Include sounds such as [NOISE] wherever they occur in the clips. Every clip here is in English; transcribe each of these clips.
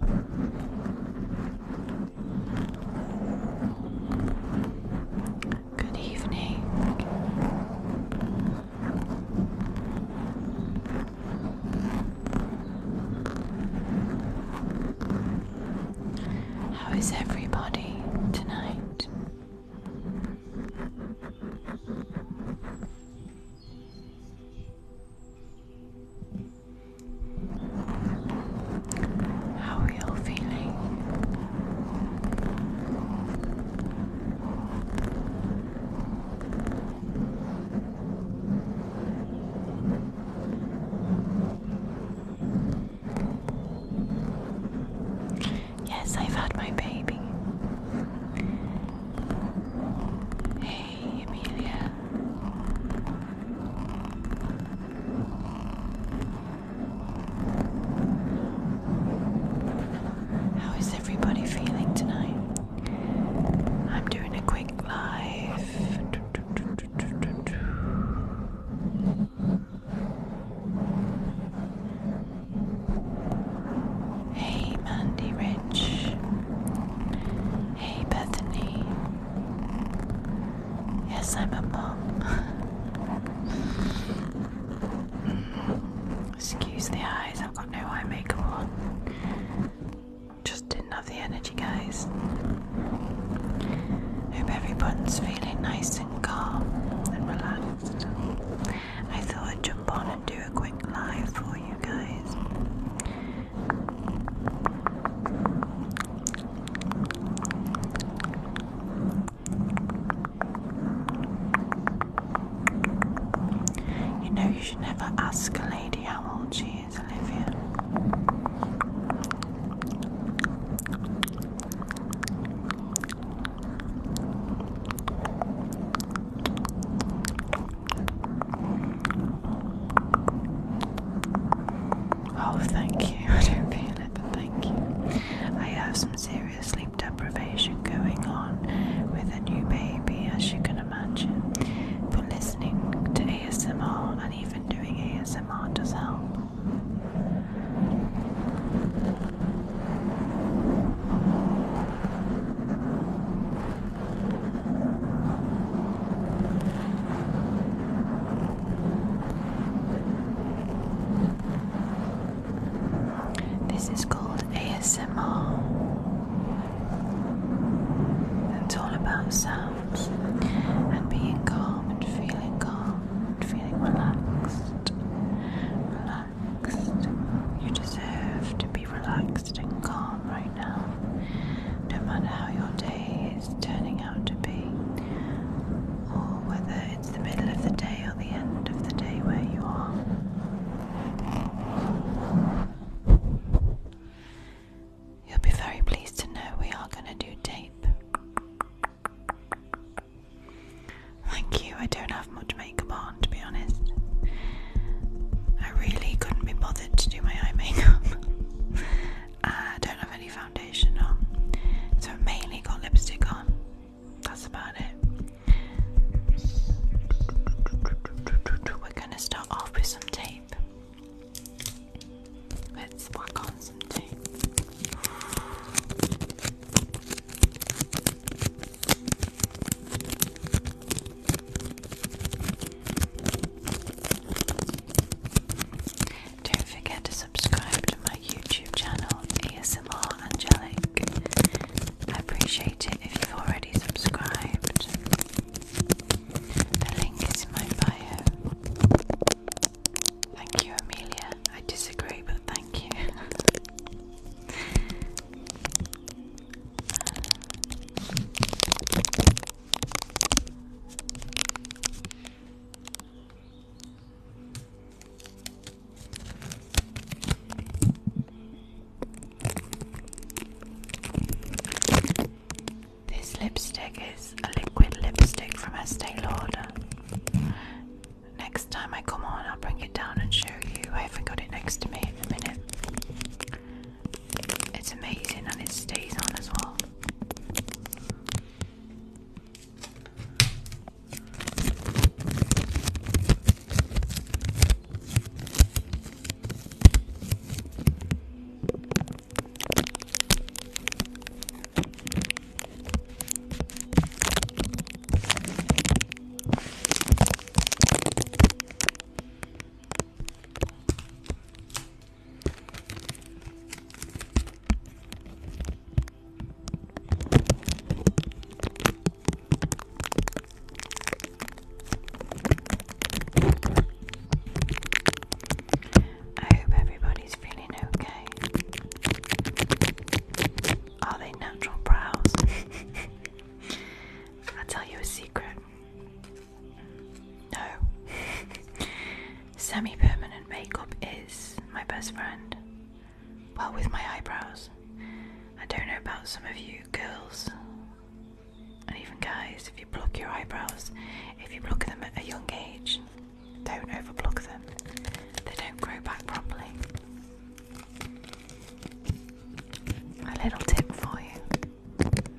Good evening. How is everybody tonight? How are you feeling? Yes, I've had my baby. Hey, Emilia. How is everybody feeling tonight? I'm doing a quick live. Hey, Mandy Ray. Rich. Hey, Bethany. Yes, I'm a mom. Excuse the eyes, I've got no eye makeup on. Just didn't have the energy, guys. Hope everyone's feeling nice and calm and relaxed. I thought I'd jump on and do a quick live for you know, you should never ask a lady how old she is, Olivia. Oh, thank you. [LAUGHS] I don't feel it, but thank you. I have some serious sleep deprivation going on with a new baby, as you can imagine. But listening to ASMR and even doing ASMR does help. This is called ASMR. It's all about sounds and being calm and feeling calm and feeling relaxed. Relaxed. You deserve to relaxed and calm right now, no matter how your day is turning out to be, or whether it's the middle of the day or the end of the day where you are. You'll be very pleased to know we are going to do tape. Thank you, I don't have much makeup on to be honest. I really couldn't be bothered to do my eye makeup. [LAUGHS] I don't have any foundation on, so I mainly got lipstick on. That's about it. We're gonna start off with some tape. Let's whack on some tape. Don't forget to subscribe to my YouTube channel, ASMR Angelic. I appreciate it if you've already subscribed. The link is in my bio. Thank you, Amelia. I disagree, but thank you. [LAUGHS] This lipstick is a liquid lipstick from Estee Lauder. Next time I come on, I'll bring it down and show you. I haven't got it next to me in a minute. It's amazing and it stays on as well. I hope everybody's feeling okay. Are they natural brows? [LAUGHS] i tell you a secret. No. [LAUGHS] Semi permanent makeup is my best friend. Well, with my eyebrows. I don't know about some of you girls and even guys, if you pluck your eyebrows, if you pluck them at a young age, don't overpluck them. They don't grow back properly. A little tip for you.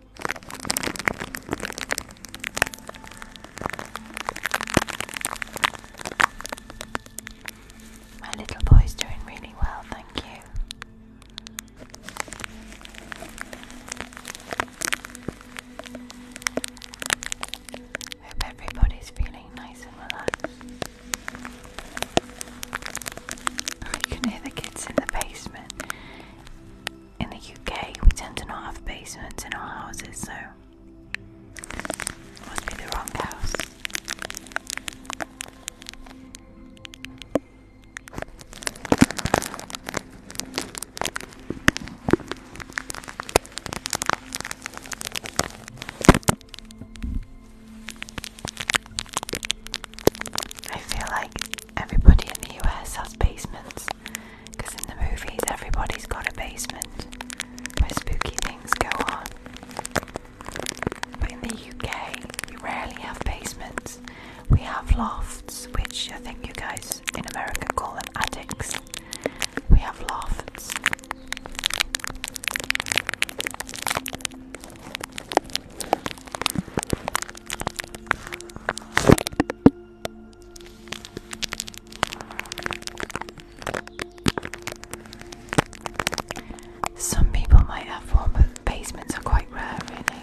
My little boy's doing really well, thank you. Hope everybody's feeling nice and relaxed. [LAUGHS] You can hear the kids in the basement in the UK, we tend to not have basements in our houses, so must be the wrong house. I feel like everybody in the US has basements because in the movies everybody's got a basement where spooky things go on. But in the UK, we rarely have basements. We have lofts, which I think you guys in America call them attics. We have lofts. Some people might have one, but basements are quite rare, really.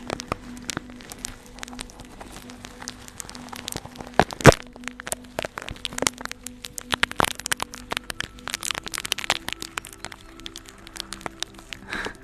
[LAUGHS]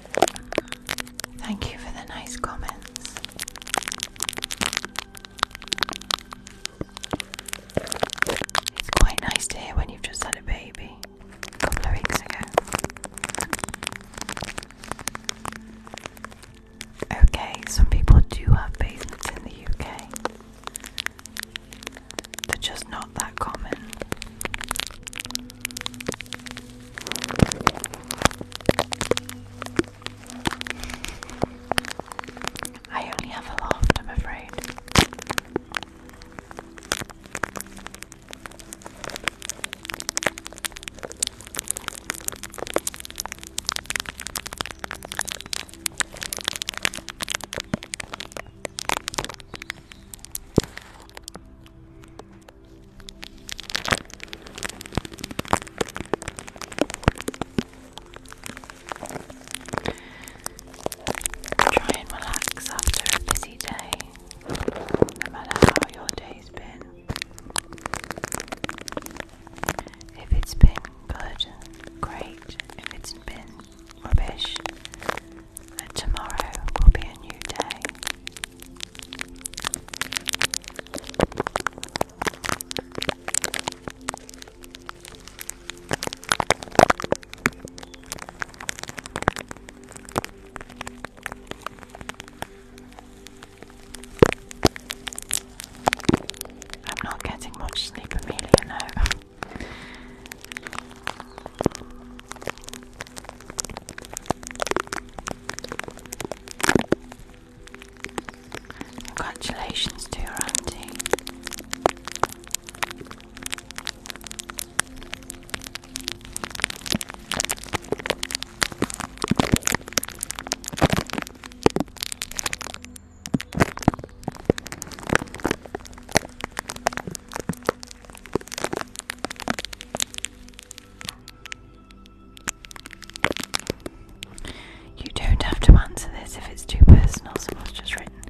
Thank you for the nice comments. It's quite nice to hear when you've just had a baby a couple of weeks ago. Okay, some people do have basements in the UK. They're just not that common. I only have a laugh, I'm afraid. Try and relax after a busy day, no matter how your day's been. If it's been good, great. If it's been rubbish, and tomorrow will be a new day. I'm not getting much sleep, Amelia, no. Congratulations to your auntie. You don't have to answer this if it's too personal, so what's just written.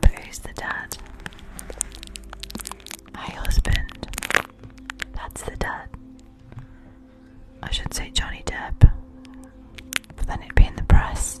But who's the dad? My husband. That's the dad. I should say Johnny Depp. But then it'd be in the press.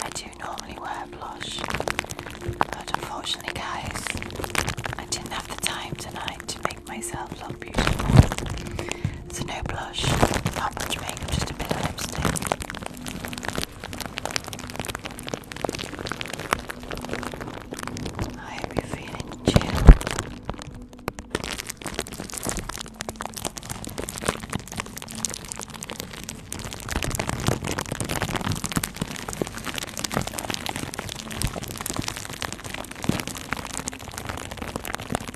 I do normally wear blush, but unfortunately, guys, I didn't have the time tonight to make myself look beautiful. So no blush, not much makeup, just a bit of lipstick. I hope you feeling chill.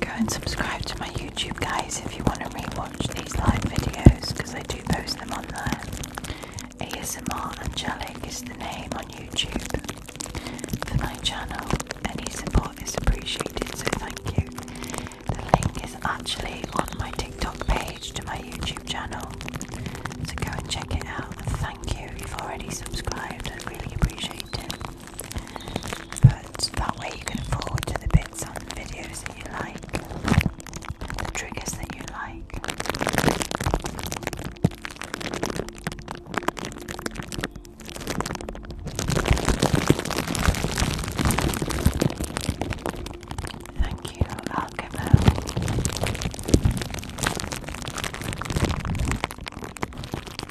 Go and subscribe to my YouTube, guys, if you want to rewatch these live videos because I do post them on there. ASMR Angelic is the name on YouTube for my channel. Any support is appreciated, so thank you. The link is actually on my TikTok page to my YouTube channel, so go and check it out. Thank you, you've already subscribed, I really appreciate it. But that way you can forward to the bits on videos that you like, the triggers that you like. Thank you, Alchemo.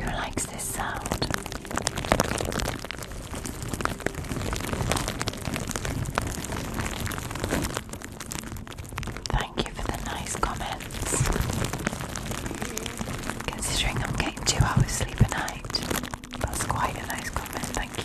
Who likes this sound? Thank you for the nice comments. Considering I'm getting two hours sleep a night, that's quite a nice comment, thank you.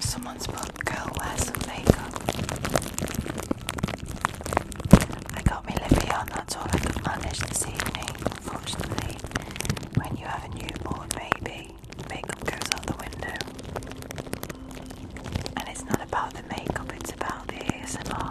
Someone's put girl wear some makeup. I got me Livy on, that's all I could manage this evening. Unfortunately, when you have a newborn baby, makeup goes out the window. And it's not about the makeup, it's about the ASMR.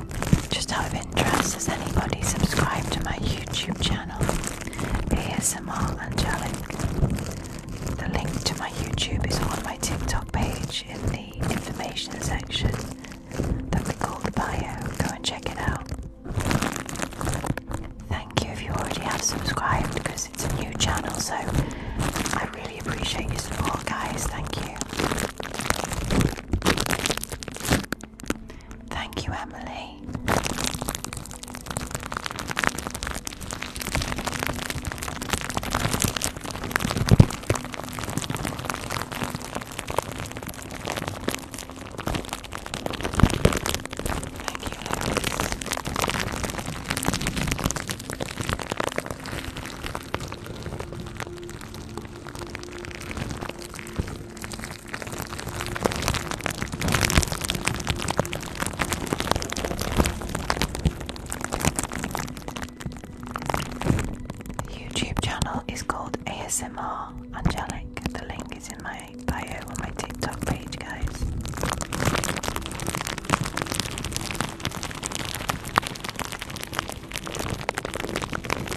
guys, just out of interest, has anybody subscribed to my YouTube channel, ASMR Angelic? The link to my YouTube is on my TikTok page in the information section that we call the bio. Go and check it out. Thank you if you already have subscribed because it's a new channel, so I really appreciate your support, guys. Thank you. Thank you, Emily. Thank you, YouTube channel is called ASMR Angelic. The link is in my bio on my TikTok page, guys.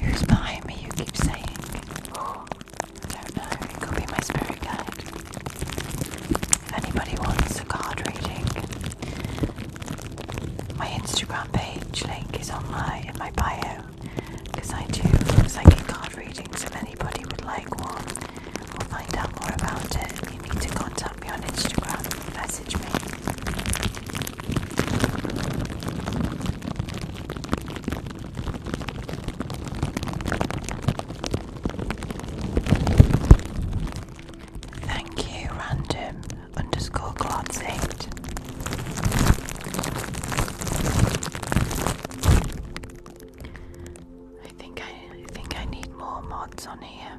Who's behind me? You keep saying. Oh, I don't know. It could be my spirit guide. If anybody wants a card reading, my Instagram page link is on my in my bio because I do psychic card readings. If anybody would like one or find out more about it, you need to contact me on Instagram, message me. Thank you, random underscore glance I think I, think I need more mods on here.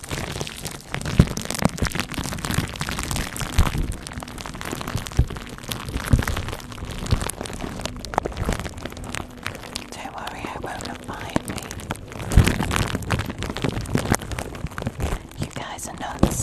Don't worry, I won't find me. You guys are nuts.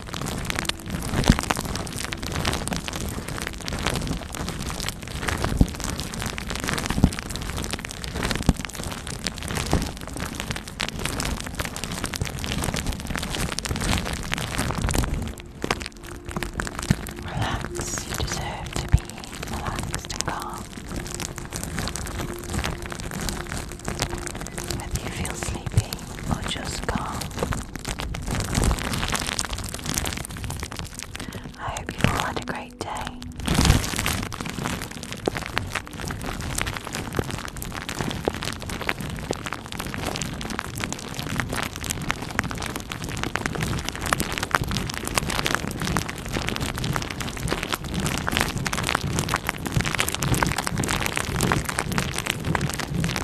Relax, you deserve to be relaxed and calm. Whether you feel sleepy I hope you all had a great day.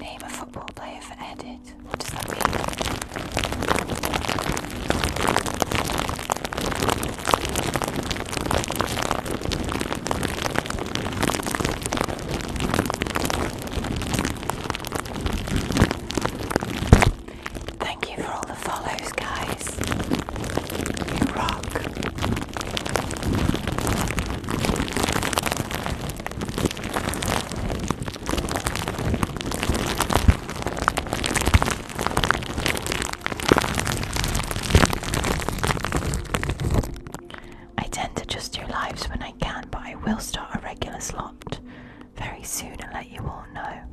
Name a football edit. What does that mean? Thank you for all the follows, guys. You rock. I tend to just do lives when I can, but I will start a regular slot very soon and let you all know.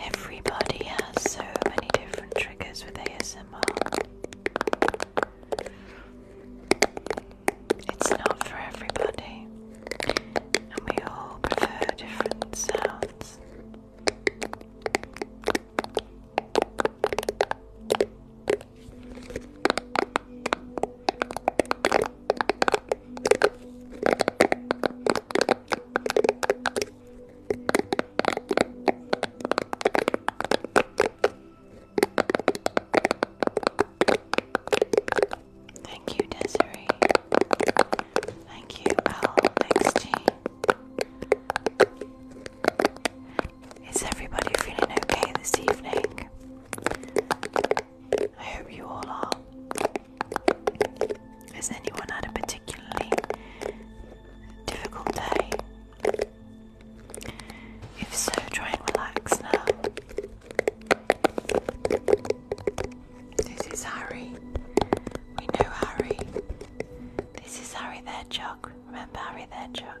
Everybody has so many different triggers with ASMR. It's not for everybody, and we all prefer different sounds. Thank you, Desiree. Thank you, LXG. Is everybody feeling okay this evening? I hope you all are. Has anyone had a particularly Difficult day? If so, try and relax now. This is Harry. We know Harry. This is Harry their jug. Remember Harry there, Chuck.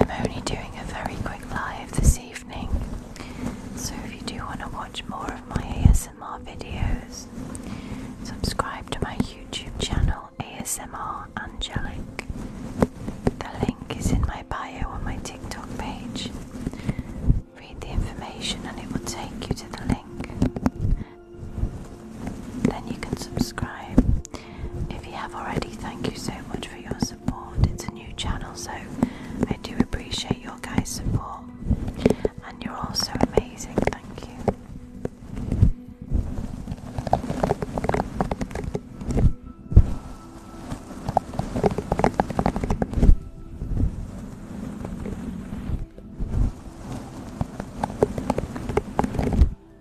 I'm only doing a very quick live this evening, so if you do want to watch more of my ASMR videos, subscribe to my YouTube channel ASMR Angelic. The link is in my bio on my TikTok page. Read the information and it will take you to the link. Then you can subscribe if you have already, thank you so much for your support. It's a new channel, so I do appreciate your guys' support. And you're all so amazing, thank you.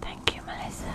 Thank you, Melissa.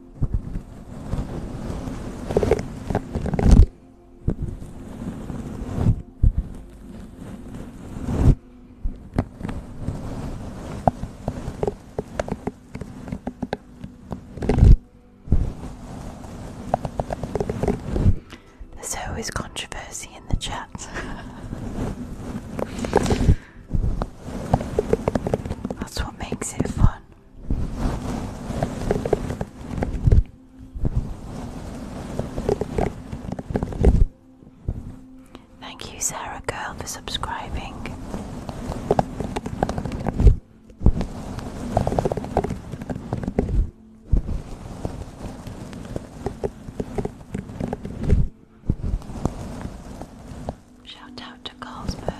There's always controversy in the chat. [LAUGHS] That's what makes it fun. Thank you, Sarah Girl, for subscribing. Shout out to Carlsberg.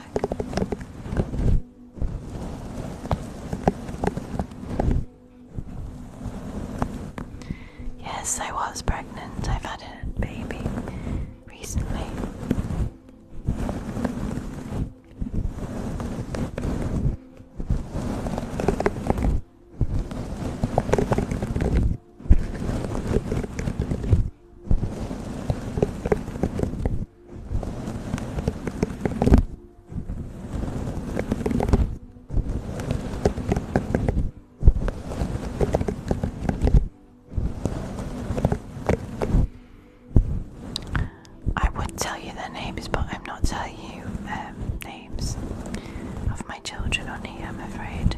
Yes, I was pregnant. I've had a baby recently. I would tell you their names, but I'm not telling you um, names of my children on here, I'm afraid.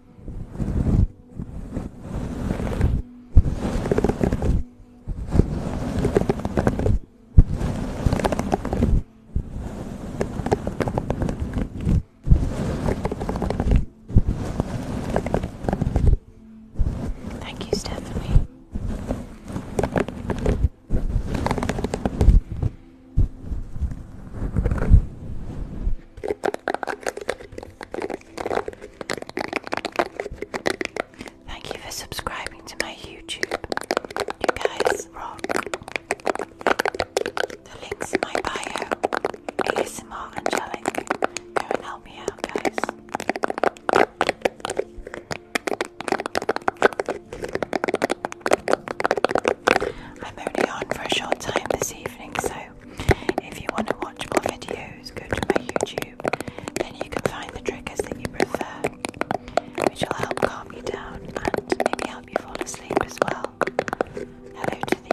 Thank you, Stephanie. Thank you for subscribing to my YouTube. You guys The links in my bio. ASMR Angelic. Go and help me out, guys. I'm only on for a short time this evening, so if you want to watch more videos, go to my YouTube, then you can find the triggers that you prefer, which will help calm you down and maybe help you fall asleep as well. Hello to the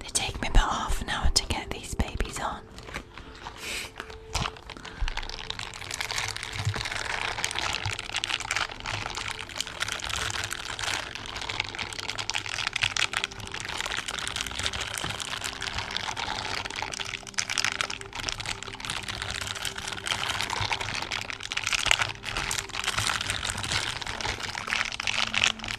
They take me about half an hour to get these babies on.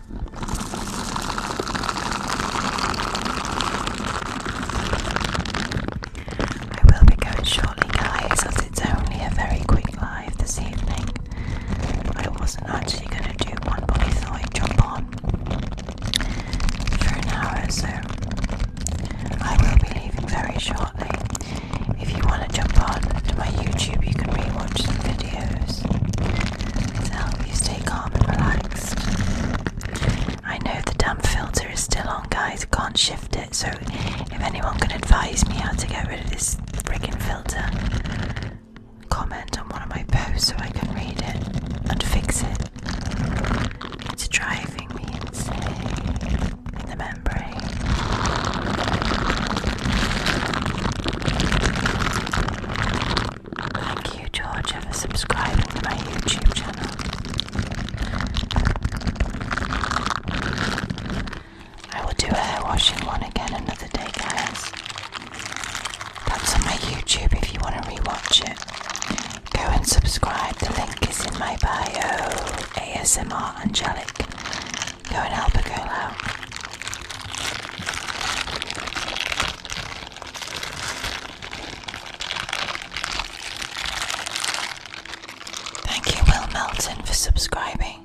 I will be going shortly, guys, as it's only a very quick live this evening. I wasn't actually going to do one, but I jump on for an hour, so I will be leaving very shortly. If you want to jump on to my YouTube, you can rewatch some videos to help you stay calm and relaxed. I know the damn filter is still on, guys. I can't shift it, so if anyone can advise me how to get rid of this frigging filter, comment on one of my posts so I can read it and fix it. It's driving me insane in the membrane. Thank you, Georgia, for subscribing to my YouTube channel. I will do a hair washing one again another day, guys. That's on my YouTube if you want to rewatch it. Go and subscribe, the link is in my bio. ASMR Angelic. Go and help a girl out. Thank you, Will Melton, for subscribing.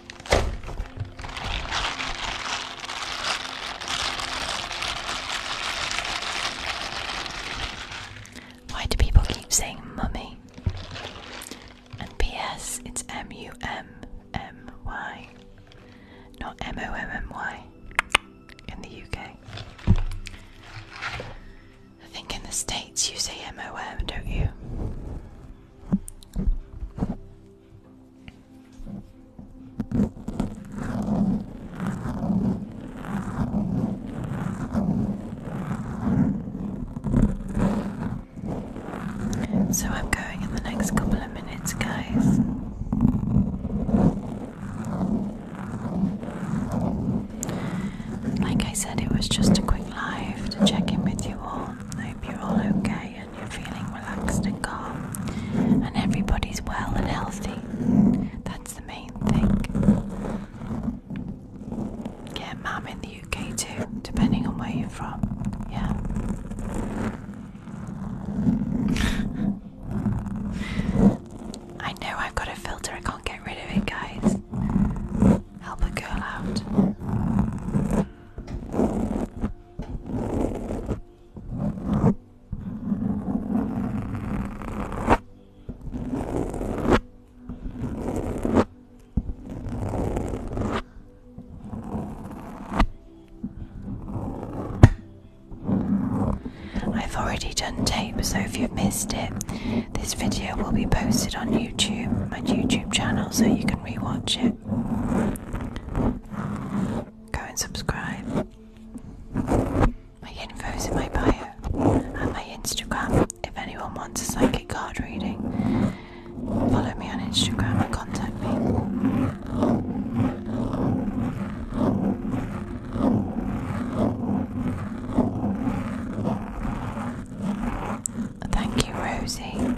Why do people keep saying mummy? And P.S. It's M U M M Y, not M O M M Y in the UK. I think in the States you say M O M, don't you? So I'm going in the next couple of minutes, guys. Like I said, it was just a quick live to check in with you all. hope you're all okay and you're feeling relaxed and calm, and everybody's well and healthy. That's the main thing. Yeah, mum in the UK too, depending on where you're from. Yeah. [LAUGHS] I know I've got a filter, I can't get rid of it, guys. Help a girl out. I've already done tape, so if you've missed it, this video will be posted on YouTube, and YouTube channel, so you can rewatch it. [LAUGHS] Go and subscribe. My info is in my bio and my Instagram. If anyone wants a psychic card reading, follow me on Instagram and contact me. Thank you, Rosie.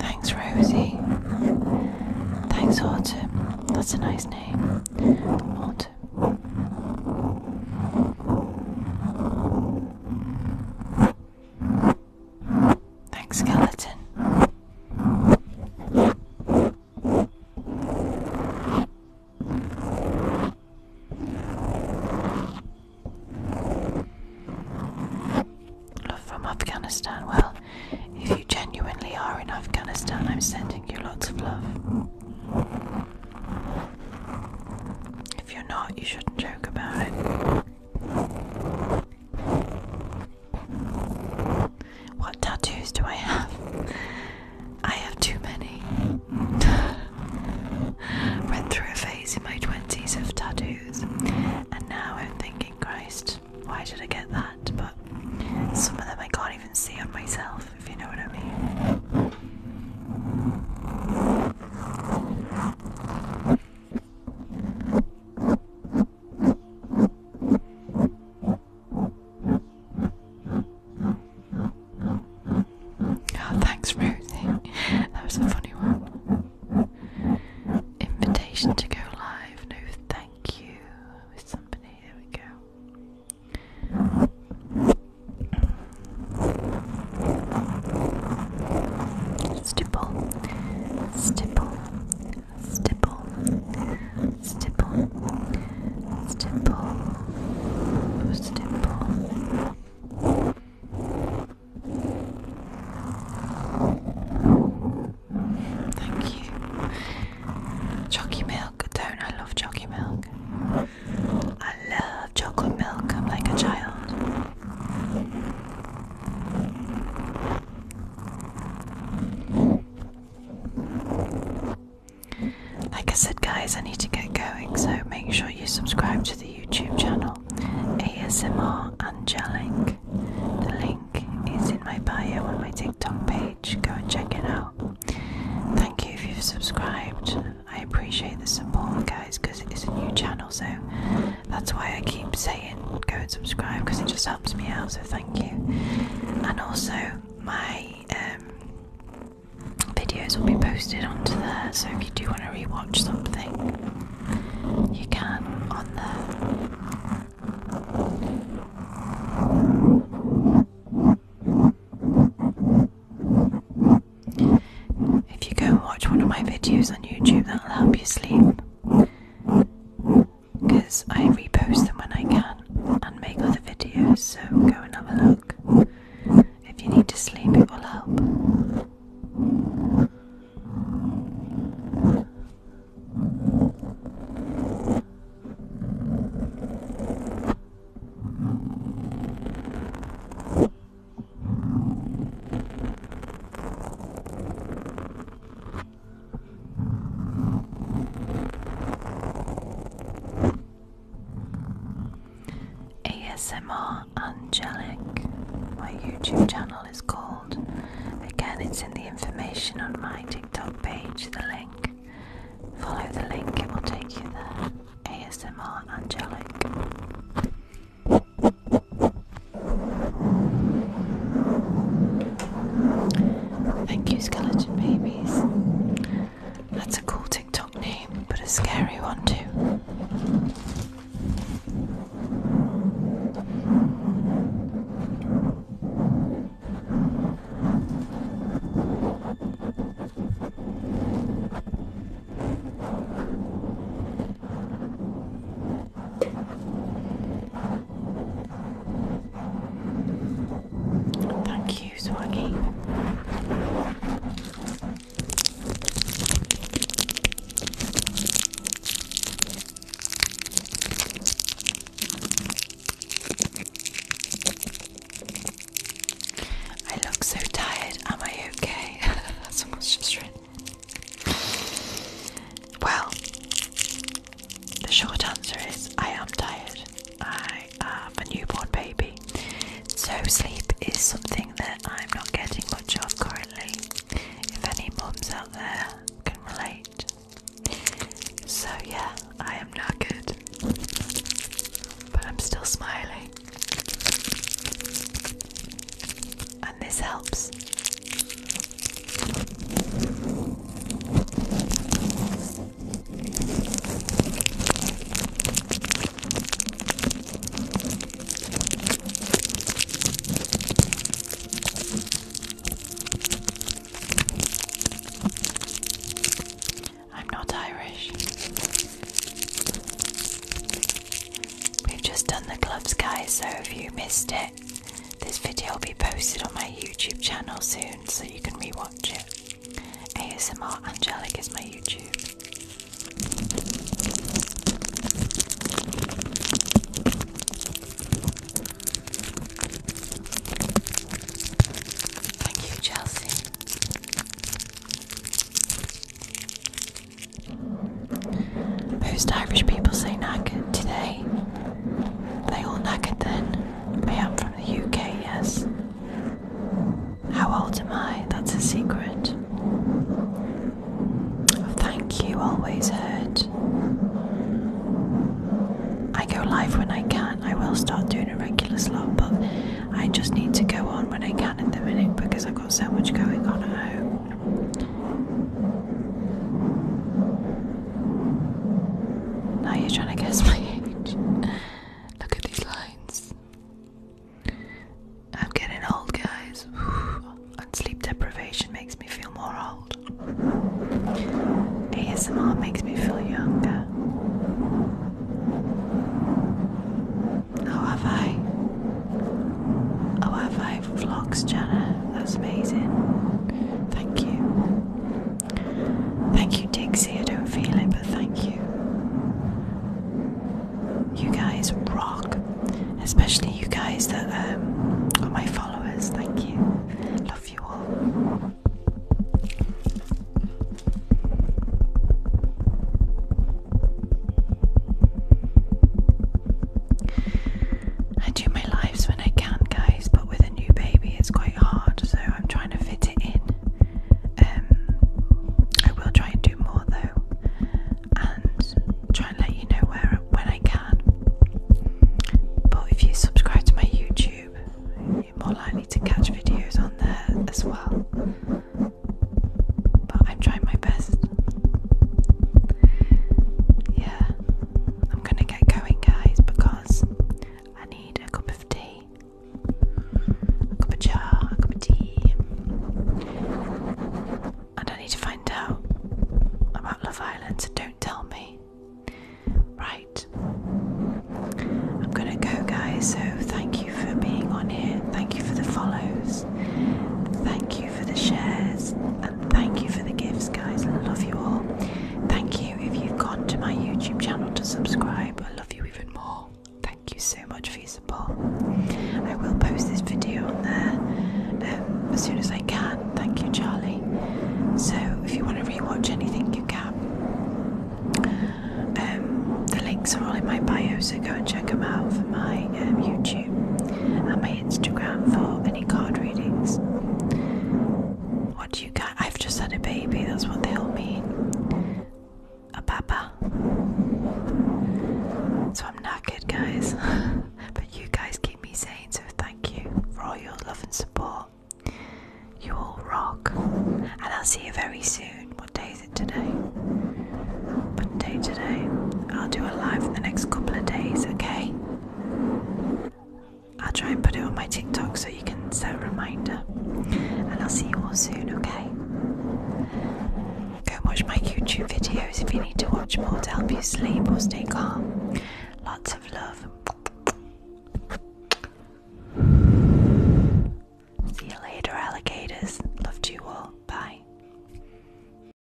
Thanks, Rosie. Thanks, Autumn. That's a nice name. Autumn. Thanks, skeleton. Love from Afghanistan. Well, if you genuinely are in Afghanistan, I'm sending you lots of love. If you're not, you shouldn't joke about it. What tattoos do I have? I have too many. [LAUGHS] Went through a phase in my 20s of tattoos, and now I'm thinking, Christ, why did I get that? But some of them I can't even see on myself, if you know what I mean. Oh, thanks, Rosie. That was a funny one. Invitation to go live. No, thank you. somebody. There we go stipple, stipple, stipple, stipple, stipple, stipple. Thank you. Chalky milk, don't I love chalky milk? I love chocolate milk, I'm like a child. Like I said, guys, I need to get going, so make sure you subscribe to the YouTube channel ASMR Angelic. The link is in my bio on my TikTok page. Go and check it out. Thank you if you've subscribed. I appreciate the support, guys, because it is a new channel channel, so that's why I keep saying go and subscribe because it just helps me out. So thank you. And also, my um, videos will be posted onto there, so if you do want to rewatch something, you can on there. If you go and watch one of my videos on YouTube, that'll help you sleep because I repost them when I can and make other videos, so go and have a look. If you need to sleep, it will help. ASMR Angelic, my YouTube channel is called. Again, it's in the information on my TikTok page, the link. Follow the link, it will take you there. ASMR Angelic. Thank you, Skeleton Babies. That's a cool TikTok name, but a scary one too. Thank you, Swaggy. I look so tired. Am I okay? Someone's just written. Well, the short answer is I am tired. I am a newborn baby. So, sleep is something that I'm not getting much of currently. If any moms out there can relate. So, yeah, I am not good, But I'm still smiling and this helps. I'm not Irish. We've just done the gloves, guys, so if you missed it, this video will be posted on my YouTube channel soon so you can rewatch it. ASMR Angelic is my YouTube. Thank you, Chelsea. Most Irish people say knackered, today. they? all knackered then. I am from the UK, yes. How old am I? That's a secret. Thank you, always heard. I go live when I can. I will start doing a regular slot, but I just need to go on when I can in the minute because I've got so much going on at home. Now you're trying to guess my age. Look at these lines. I'm getting old, guys. [SIGHS] and sleep deprivation makes me feel more old. ASMR makes me feel younger. Oh, have I? Oh, have I vlogs Jenna. that's amazing. Thank you. Thank you Dixie, I don't feel it but thank you. You guys rock, especially you guys that um, are my followers, thank you. Love you all. I do my lives when I can, guys, but with a new baby, it's quite hard, so I'm trying to fit it in. Um, I will try and do more though, and try and let you know where when I can. But if you subscribe to my YouTube, you're more likely to catch videos on there as well but I'm trying my best. Yeah, I'm gonna get going, guys, because I need a cup of tea, a cup of jar, a cup of tea, and I need to find out about Love Island, don't tell me. Right, I'm gonna go, guys. So, thank you for being on here, thank you for the follows, thank you for the shares, thank you for the gifts, guys. I love you all. Thank you if you've gone to my YouTube channel to subscribe. I love you even more. Thank you so much for your support. I will post this video on there um, as soon as I can. Thank you, Charlie. So, if you want to rewatch anything, you can. Um, the links are all in my bio, so go and check them out for my um, YouTube and my Instagram for any card readings. What do you got? I've just had a baby, that's what they all mean. A papa. So I'm not good, guys. [LAUGHS] but you guys keep me sane. so thank you for all your love and support. You all rock. And I'll see you very soon. What day is it today? Monday today. I'll do a live in the next couple of days, okay? I'll try and put it on my TikTok so you can set a reminder. And I'll see you all soon, okay? Go watch my YouTube videos if you need to watch more to help you sleep or stay calm. Lots of love. See you later, alligators. Love to you all. Bye.